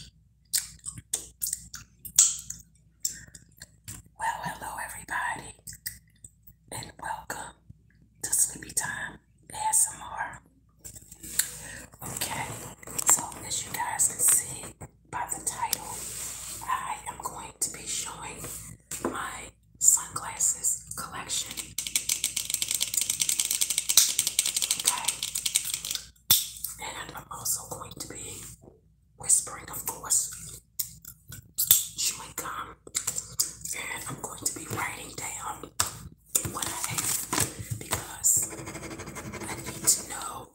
Well, hello, everybody, and welcome to Sleepy Time ASMR. Okay, so as you guys can see by the title, I am going to be showing my sunglasses collection. Okay, and I'm also going to be whispering, of course. She might come. And I'm going to be writing down what I have because I need to know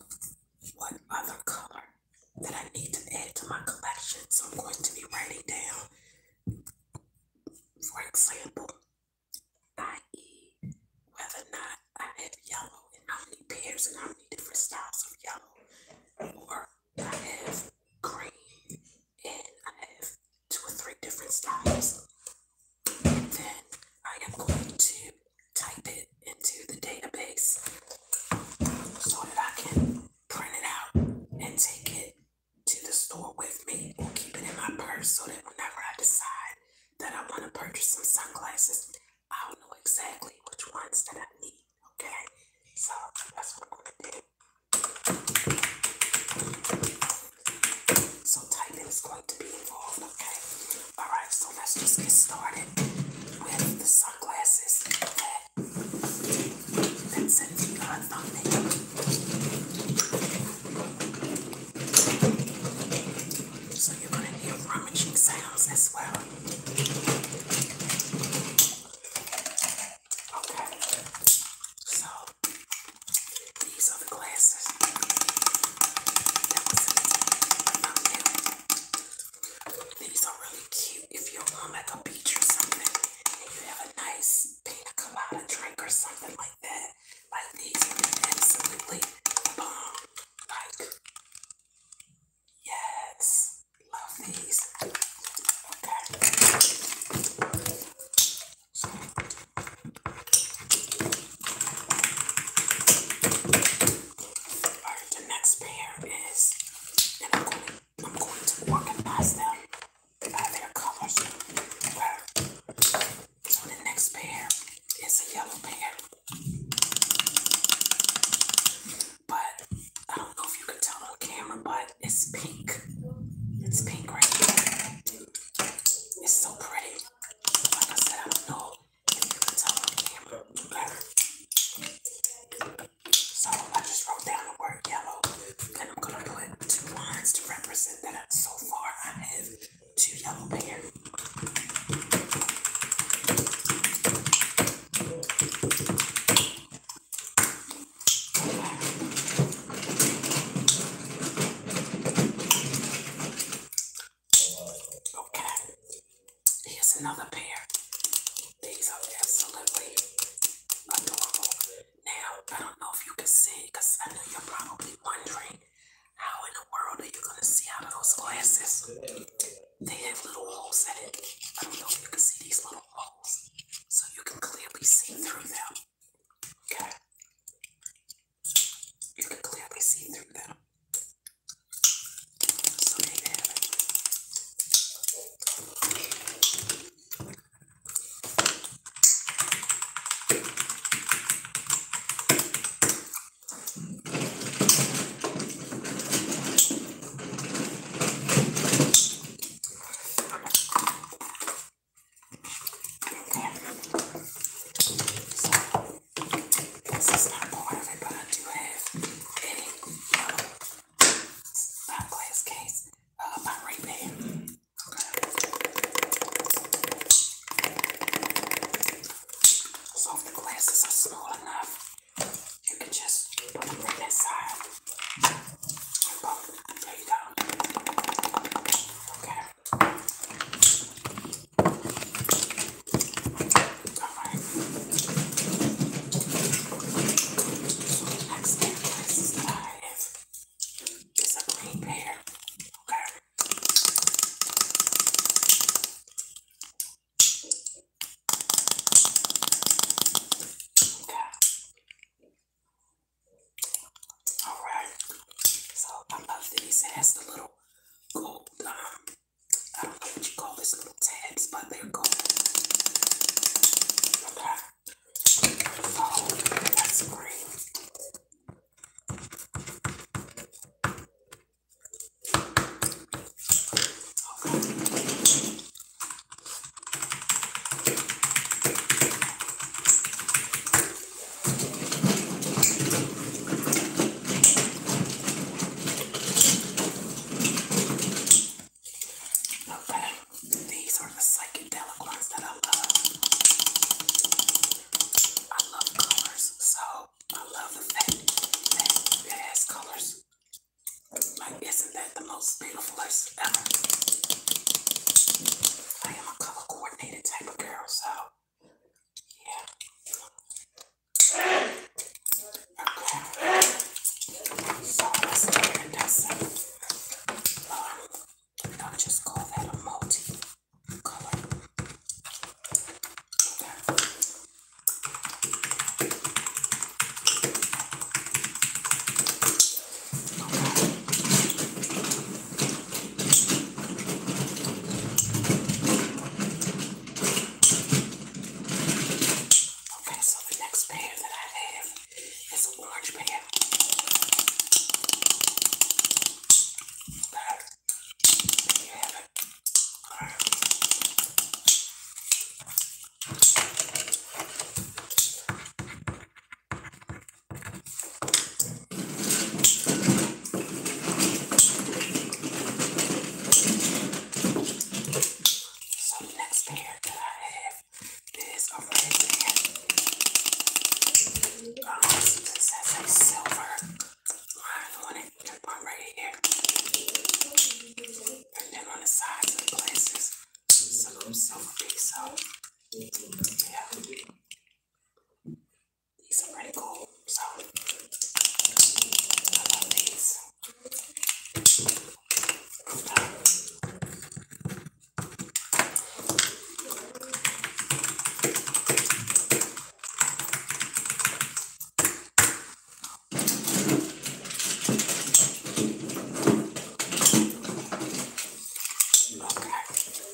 what other color that I need to add to my collection. So I'm going to be writing down, for example, i.e., whether or not I have yellow and how many pairs and how many different styles of yellow, or I have green and I have two or three different styles. And then I am going to type it into the database so that I can print it out and take it to the store with me or keep it in my purse so that whenever I decide that I want to purchase some sunglasses. I don't know exactly which ones that I need, okay? So that's what I'm going to do. So typing is going to be involved, okay? Alright, so let's just get started with the sunglasses. Okay. That's it your thumbnail. So you're going to hear rummaging sounds as well. Okay. So these are the glasses. These are really cute if you're on um, like beach or something and you have a nice pina colada drink or something like that. Like these are absolutely bomb. Like, yes, love these. the next pair is, and I'm going, I'm going to organize them by their colors. So the next pair is a yellow pair. But I don't know if you can tell on camera, but it's pink. It's pink right here. It's so pretty. Like I said, I don't know if you can tell on camera So I just wrote down the word yellow and I'm gonna put two lines to represent that so far I have Two Yellow pairs. Okay, here's another pair. These are absolutely adorable. Now, I don't know if you can see because I know you're probably wondering how in the world are you gonna see out of those glasses? They have little holes in it. I don't know if you can see these little holes. So you can clearly see through them. Okay. You can clearly see through them. This is not part of it, but I do have a yellow um, uh, glass case of uh, my ring band. Okay. So if the glasses are small enough, you can just put them right inside. And boom, there you go. Okay. Alright. So the next pair of glasses that I have is a green pair. Okay. Alright, so I love these. It has the little gold, um, I don't know what you call this little tabs, but they're gold. Okay, so that's green. Okay, these are the psychedelic ones that I love. I love colors, so I love the fact that it colors. Like, isn't that the most beautifulest ever? I am a color coordinated type of girl, so yeah. Okay. So let's get it. That's it. Um, I'll just call that a multi color. There. Okay, so the next pan that I have is a large pan. Okay. There you have it. All right. So the next pair that I have oh, is a red pair. Um, this has a silver line on it right, to right here. And then on the sides places, some silver piece out. Yeah. These are pretty cool, so I love these. Okay,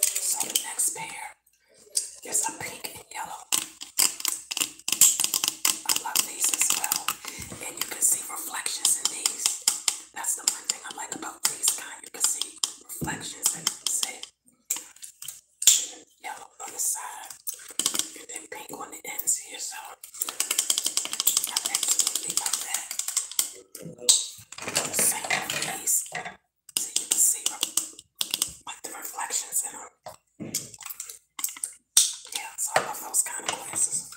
so the next pair is a pink and yellow. I love these as well, and you can see reflections in these. That's the one thing I like about these kind. You can see reflections in See? yellow on the side, and pink on the ends here. So i absolutely love that. Same with so you can see like the reflections in them. Yeah, I love those kind of glasses.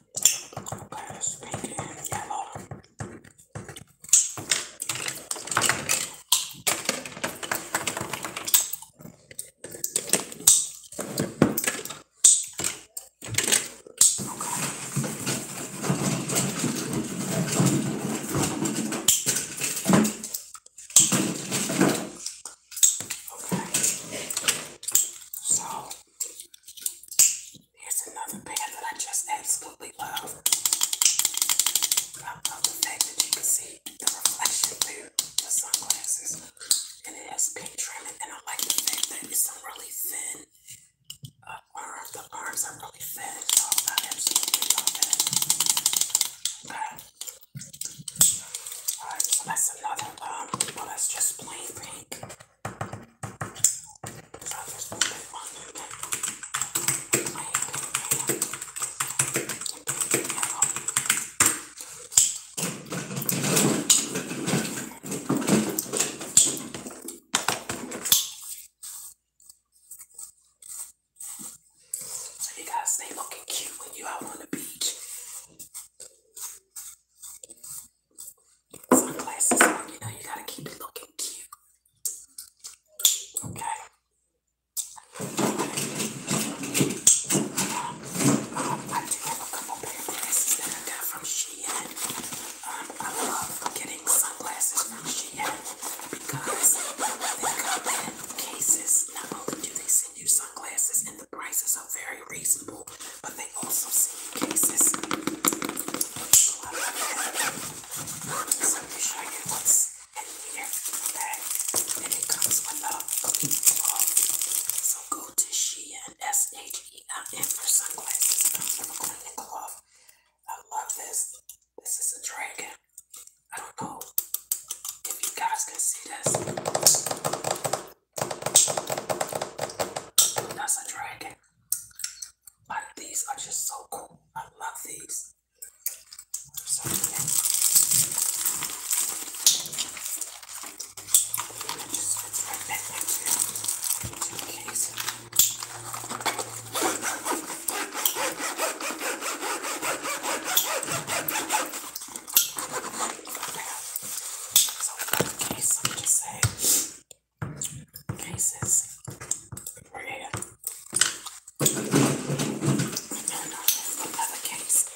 Let's make it yellow. Okay. Okay. So Here's another pair that I just absolutely love. I love that you can see the reflection through the sunglasses. And it has pink trimming, and I like the fact that it's really thin uh, The arms are really thin, I absolutely love that. Alright, so that's another um, well, that's just plain pink. So you guys stay looking cute when you out on the beach sunglasses You know, you gotta keep it looking cute. Okay. I do have a couple pair of glasses from Shein. Um, I love getting sunglasses from Shein because they come in cases. Not only do they send you sunglasses, and the prices are very reasonable but they also see cases. So I make And it comes with a cooking bowl. So go to Shein, S-H-E-I-N for sunglasses. I'm going cloth. I love this. This is a dragon. I don't know if you guys can see this. That's a dragon. But these are just so cool. I love these. So, yeah. just fits right back into, into case. So, in case, I'm just saying cases were here. another case.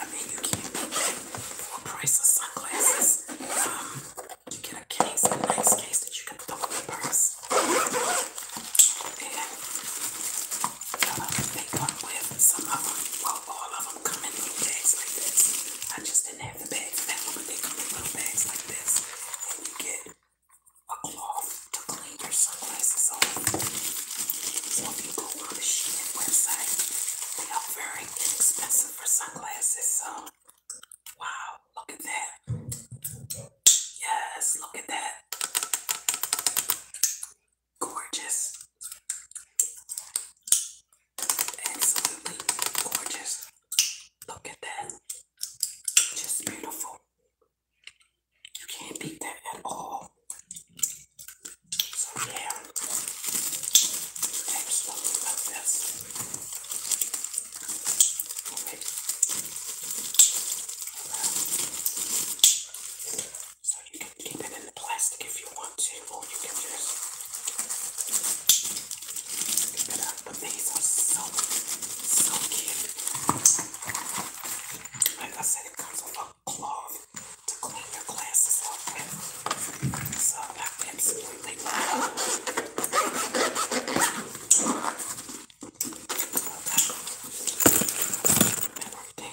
I mean, you can for a price of sunglasses. Um, you get a case, a nice case that you can throw in the purse they come with some of them, well, all of them come in little bags like this. I just didn't have the bag for that one, but they come in little bags like this. And you get a cloth to clean your sunglasses off. So if on the Shein website, they are very inexpensive for sunglasses. So, wow, look at that. Yes, look at that gorgeous. Absolutely gorgeous. Look at that. Just beautiful. You can't beat that at all. So yeah. Absolutely love this. Okay keep it in the plastic if you want to, or you can just keep it up. But these are so, so cute. Like I said, it comes with a cloth to clean your glasses up with. So I absolutely love it. Okay. Now and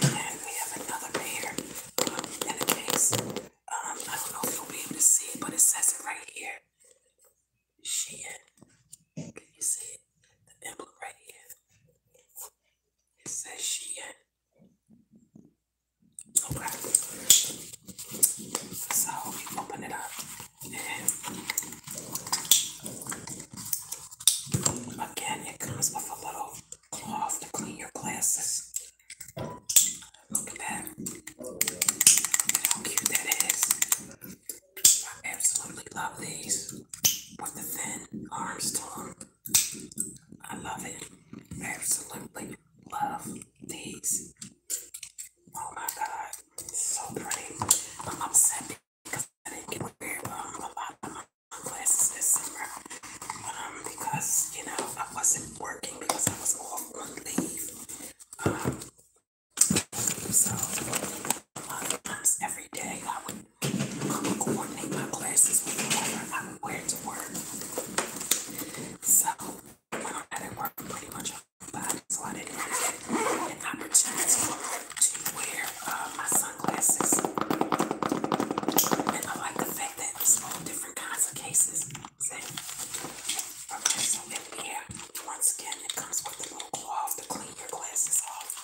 then we have another pair in the case. Um, I don't know if you'll be able to see it, but it says it right here. Shein. Can you see it? The emblem right here. It says Shein. Okay. So we open it up Again, it comes with a little cloth to clean your glasses. Look at that. how cute that is. I absolutely love these with the thin arms I love it. Absolutely love these. Oh my god, so pretty. I'm upset because I didn't get wear a lot of my classes this summer um, because, you know, I wasn't working because I was off on leave. Um, so, a lot of times every day I would coordinate my classes with whatever I would wear to work. So, I had to work pretty much on my body, so I didn't really get an opportunity to wear uh, my sunglasses. And I like the fact that it's all different kinds of cases. Okay, so in here, once again, it comes with a little cloth to clean your glasses off.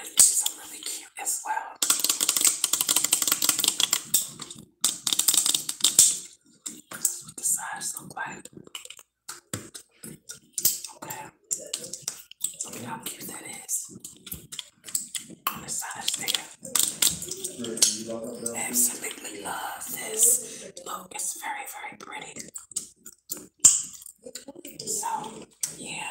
And these are really cute as well. This is the size look like. Okay. Let how cute that is. On the side there. I absolutely love this. Look, it's very, very pretty. So, yeah.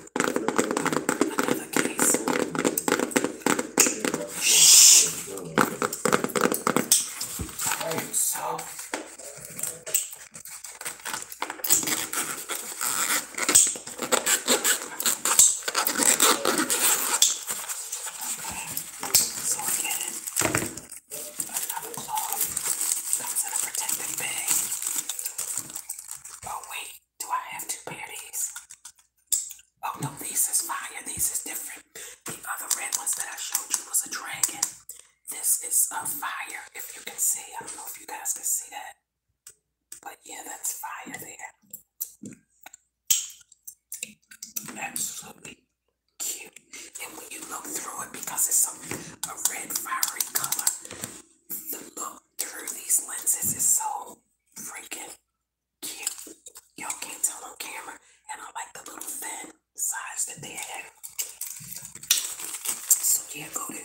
Another case. Shh. Oh, so. So again, another cloth comes in a protective bag. Oh wait, do I have to pair these? Oh no, these is fire. These is different. The other red ones that I showed you was a dragon. This is a fire. If you can see, I don't know if you guys can see that. But yeah, that's fire there. Absolutely cute. And when you look through it, because it's a, a red fiery color, the look through these lenses is so so freaking cute. Y'all can't tell on camera. And I like the little thin size that they had. So yeah, go to uh, and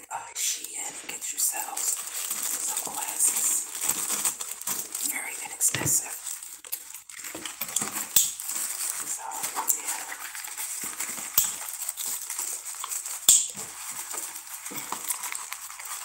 get yourselves some glasses. Very inexpensive. So yeah.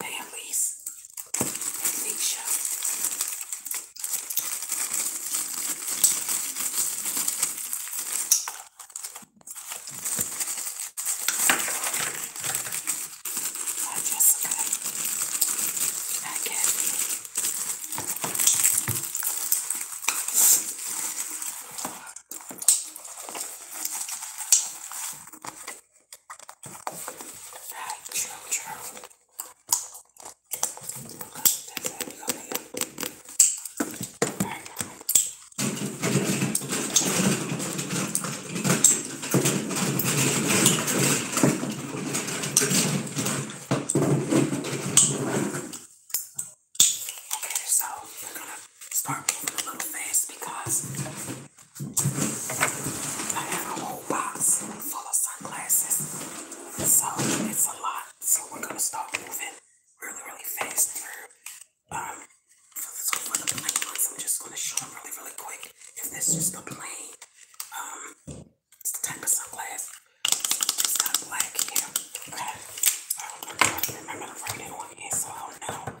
Damn, Reese. Nisha. Hi, Jessica. Hi, Kathy. Hi, true, true. Okay, so we're gonna start moving a little fast because I have a whole box full of sunglasses, so it's a lot. So we're gonna start moving really, really fast through. Um, so for the plain I'm just gonna show them really, really quick. If this is the plane, um, it's the type of sunglass. It's black here. Okay. Um, I don't remember the radio on so I don't know.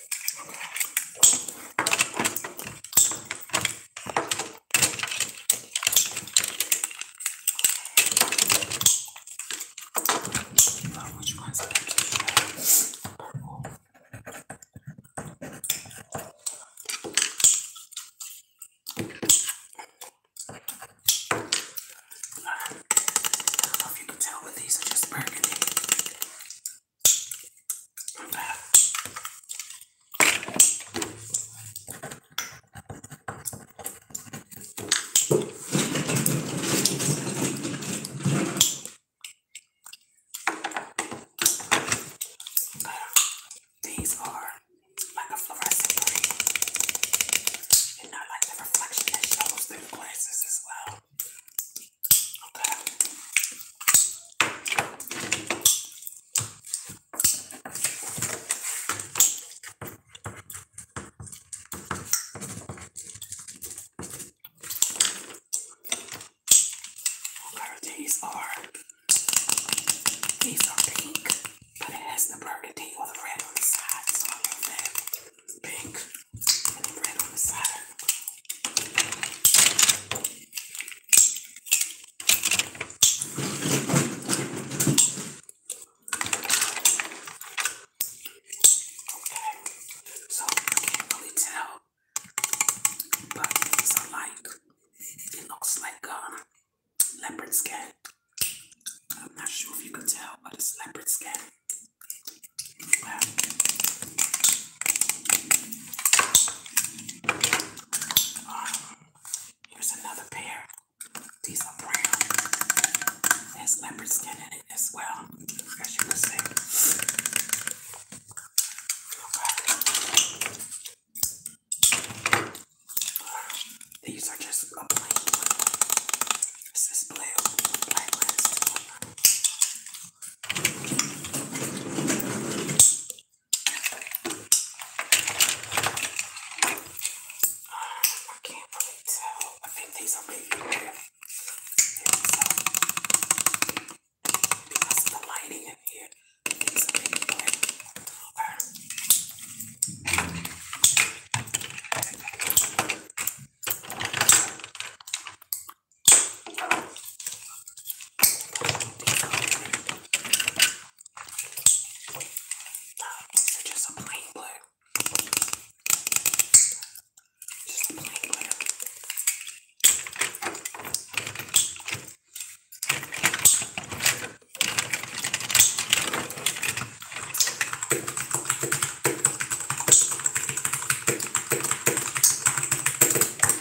Now, which one's the purple? I don't know if you can tell, but these are just burgundy. These are like a fluorescent green, and I like the reflection that shows through the glasses as well these are these are pink, but it has the burgundy or the red on the side, so I love that. Pink and the red on the side so I can't really tell, but these like, it looks like um, leopard skin. I'm not sure if you can tell, but it's leopard skin here's another pair. These are brown. There's leopard skin in it as well, as you can see. Right. These are just a plain blue, black I can't really tell. I think these are baby hair. Because of the lighting in here, these are baby hair. So just a plain blue. Just a plain blue.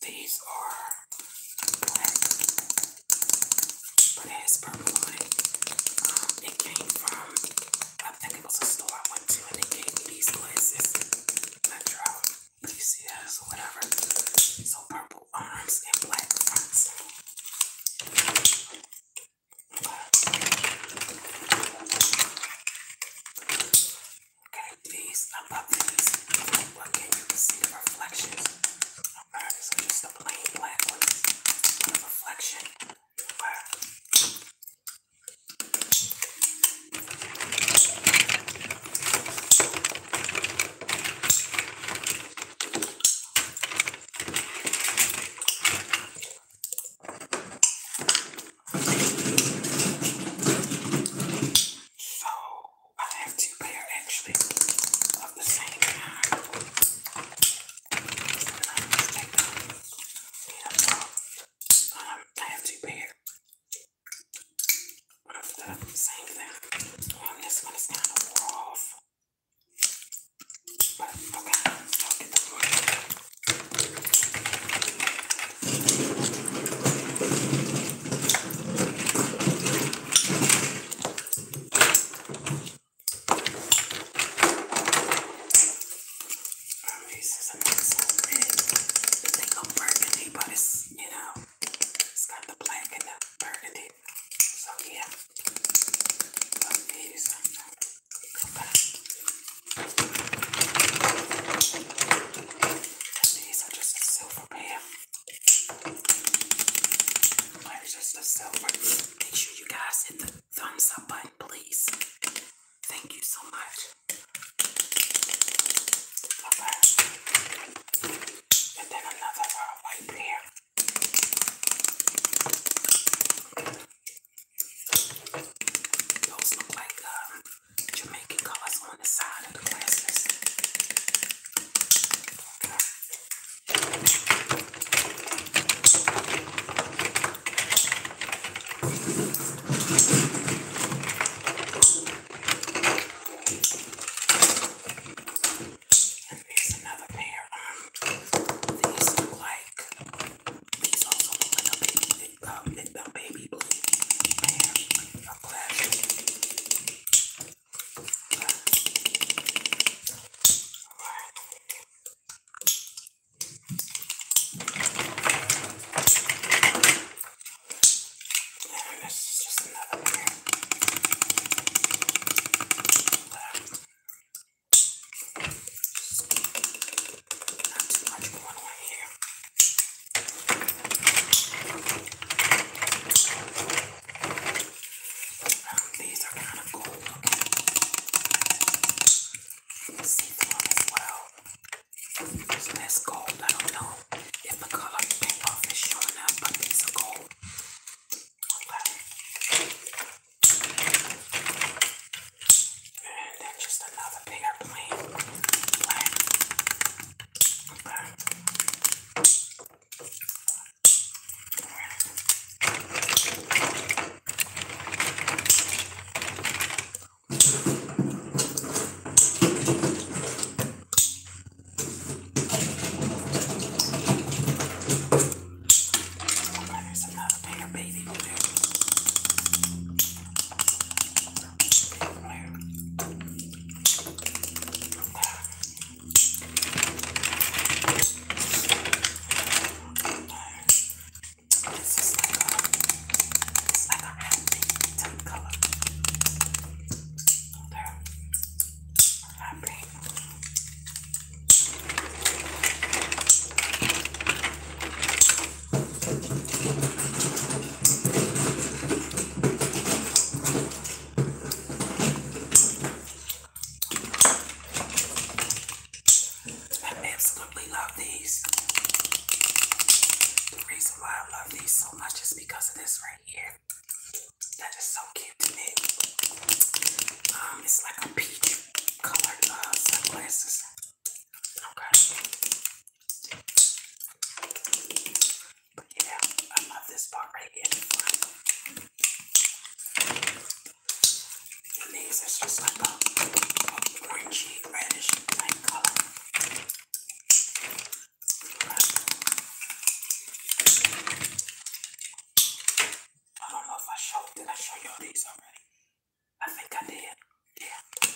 These are black, but it purple um, it. came from, I think it was a store I went to, and they gave me these glasses. Not sure how PCS or whatever. So purple arms and black fronts. Okay, these above these, what can you see the reflections? Alright, so just a plain black one with a reflection. Alright. Okay, so I have two pair actually of the same kind. And um, I have two pair of the same thing. Um, this one is kind of the one. This is so big. The thing of burgundy, but it's, you know, it's got the black and the burgundy. So, yeah. Love these. Okay. And these are just so Make sure you guys hit the thumbs up button, please. Thank you so much. another uh, wipe Those look like um, Jamaican colors on the side of the glasses. And there's another pair. Um, these look like these also look like a um, baby, blue I'm glad. Alright. And this is just another one here. Not too much going on here. Um, these are kind of cool See through as well. There's less gold. I know if the color paint is showing up, but these are gold. And then just another bigger plain black. There's another bigger baby. This is like a, it's like a hot pink type color. Okay. Hot pink. I absolutely love these. The reason why I love these so much is because of this right here. That is so cute Um, it's like a peach colored uh, sunglasses. Okay yeah, I love this part right here. these is just like orangey, reddish type color. I don't know if I showed, did I show you these already? I think I did, yeah.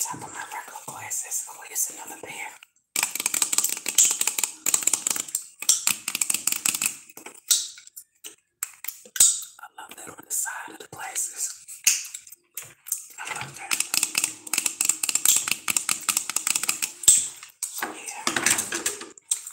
top of my regular glasses. Oh, here's another pair. I love that on the side of the glasses. I love that. Yeah.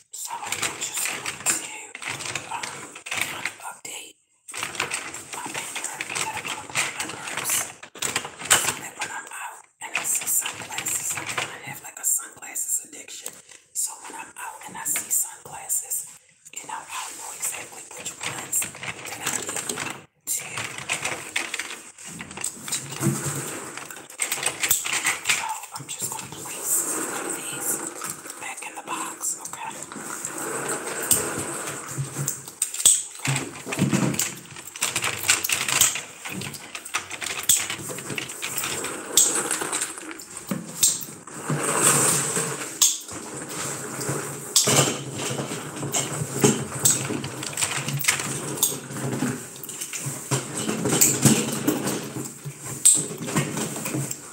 So I just want to um, kind of update my paper that I put on my purse so that when I'm out and I see sunglasses, I kind of have like a sunglasses addiction. So when I'm out and I see sunglasses, you know, I'll know exactly which ones that I need to, to do. So I'm just going to place these back in the box. Okay. Okay.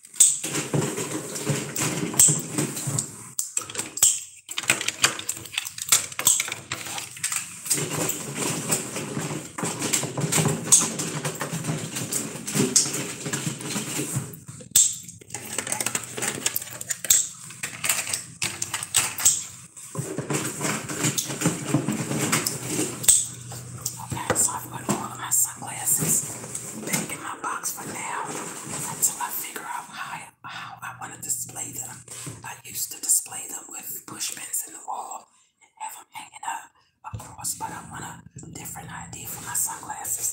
Okay, so I've put all of my sunglasses back in my box for now until I figure out how how I want to display them. I used to display them with pushpins in the wall and have them hanging up but I want a different idea for my sunglasses.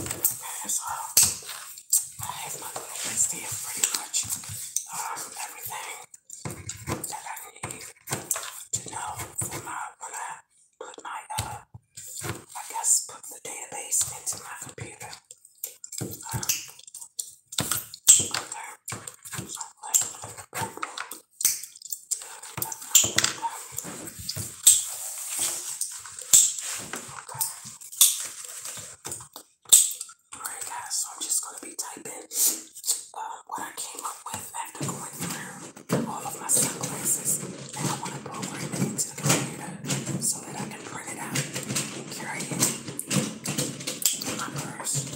Okay, so I have my little list here pretty much um, everything that I need to know for my when I put my uh I guess put the database into my computer. Um, Alright guys, so I'm just gonna be typing uh, what I came up with after going through all of my sunglasses. And I want to program it into the computer so that I can print it out and carry it my purse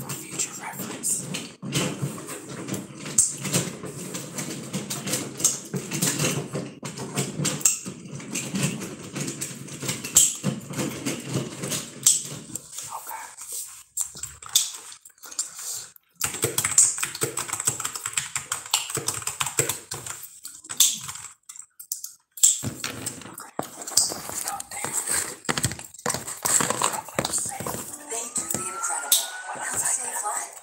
for future reference. Thank you, the incredible. What else I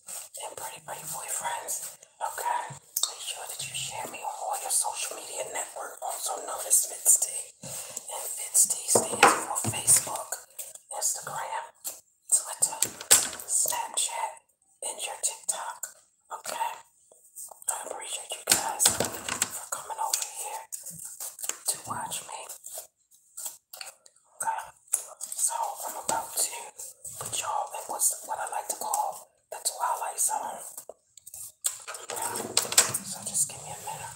and pretty beautifully friends. Okay. Make sure that you share me on all your social media network. Also known as FitST. And FitST stands for Facebook, Instagram, Twitter, Snapchat, and your TikTok. Okay. I appreciate you guys for coming over here to watch me so I'm about to put y'all in what's what I like to call the twilight zone. So just give me a minute.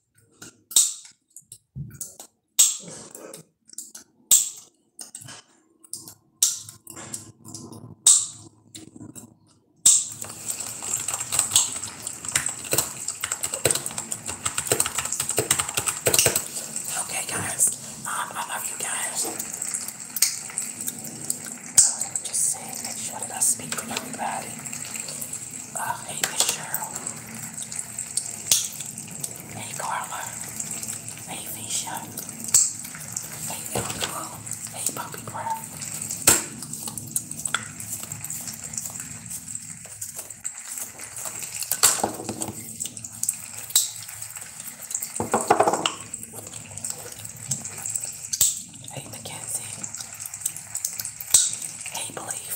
Okay, guys, um, I love you guys. Uh, just saying, make sure that I speak with everybody. Uh, hey, Miss Cheryl. Hey Carla. Hey Fisha. Hey Elko. Hey Puppy Breath. Hey Mackenzie. Hey Belief.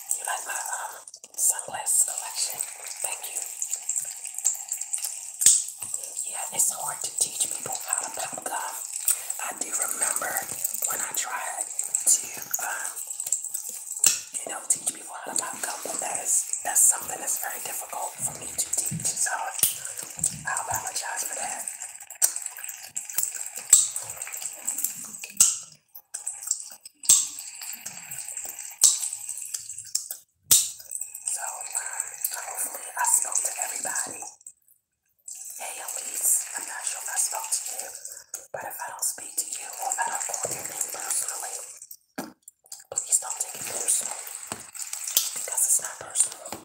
You like my um, sunglasses collection? Thank you. Yeah, it's hard to teach people how to pop gum. do remember when I tried to, um, you know, teach people how to pop gum, but that is that's something that's very difficult for me to teach. So I apologize for that. So, uh, hopefully I spoke to everybody. Hey, Elise, I'm not sure if I spoke to you, but if I don't speak to you or if I don't call you personally, please don't take it personally, because it's not personal.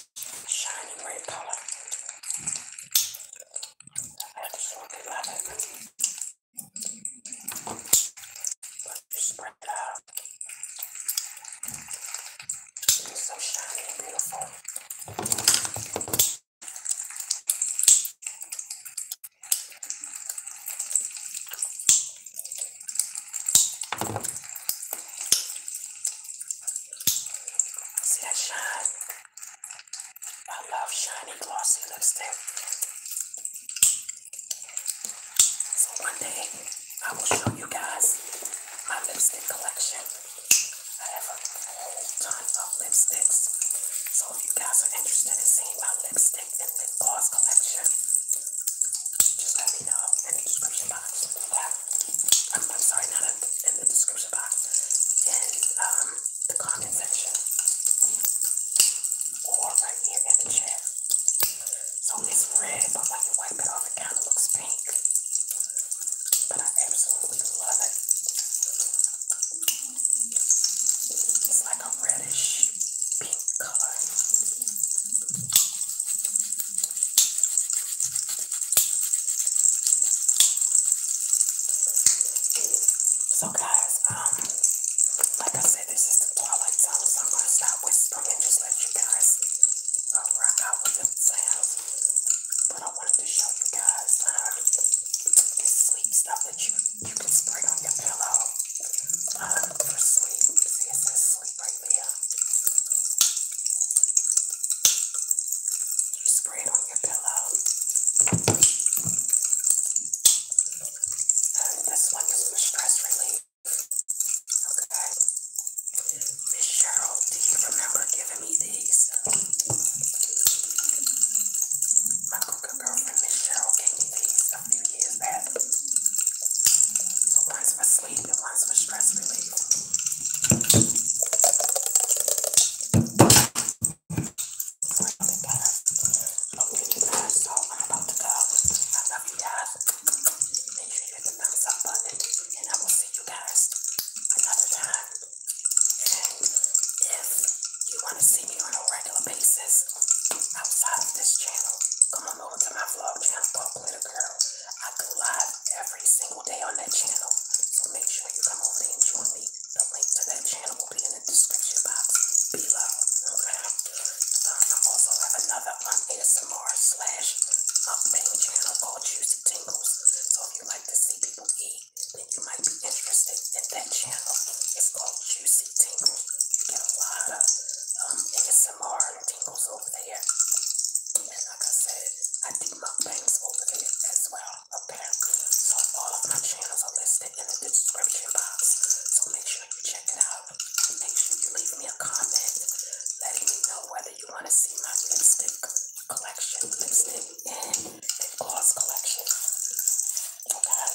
shining red color. I absolutely love it. But you spread it out. It's so shiny and beautiful. See that shine? I love shiny glossy lipstick. So one day I will show you guys my lipstick collection. I have a whole ton of lipsticks. So if you guys are interested in seeing my lipstick and lip gloss collection, just let me know in the description box. Okay? I'm, I'm sorry, not in the, in the description box, in um, the comment section, or right here in the chat. So it's red, but when you wipe it off, it kind of looks pink. But I absolutely love it. It's like a reddish pink color. So guys, um, like I said, this is the Twilight Zone, so I'm gonna stop whispering and just let you guys uh, rock out with the But I wanted to show you guys um, this sleep stuff that you you can spray on your pillow um, for sleep. See, it sleep right there. You spray it on your pillow. And this one is for stress relief. Okay. Miss Cheryl, do you remember giving me these? My cooker girlfriend, Miss Cheryl, gave me these a few years back. So one's for sleep and one's for stress relief. Really better. Okay, you guys. So I'm about to go. I love you guys. Make sure you hit the thumbs up button, and I will see you guys another time. And if you want to see me on a regular basis outside of this channel, come on over to my vlog channel called Glitter Girl. I go live every single day on that channel. So make sure you come over there and join me. The link to that channel will be in the description box below. Okay. Um, I also have another um, slash mukbang channel called Juicy Tingles. So if you like to see people eat, then you might be interested in that channel. It's called Juicy Tingles. You get a lot of um, and tingles over there like I said, I do mukbangs over there as well, apparently. So all of my channels are listed in the description box. So make sure you check it out. make sure you leave me a comment letting me know whether you want to see my lipstick collection, lipstick and lip gloss collection. Okay.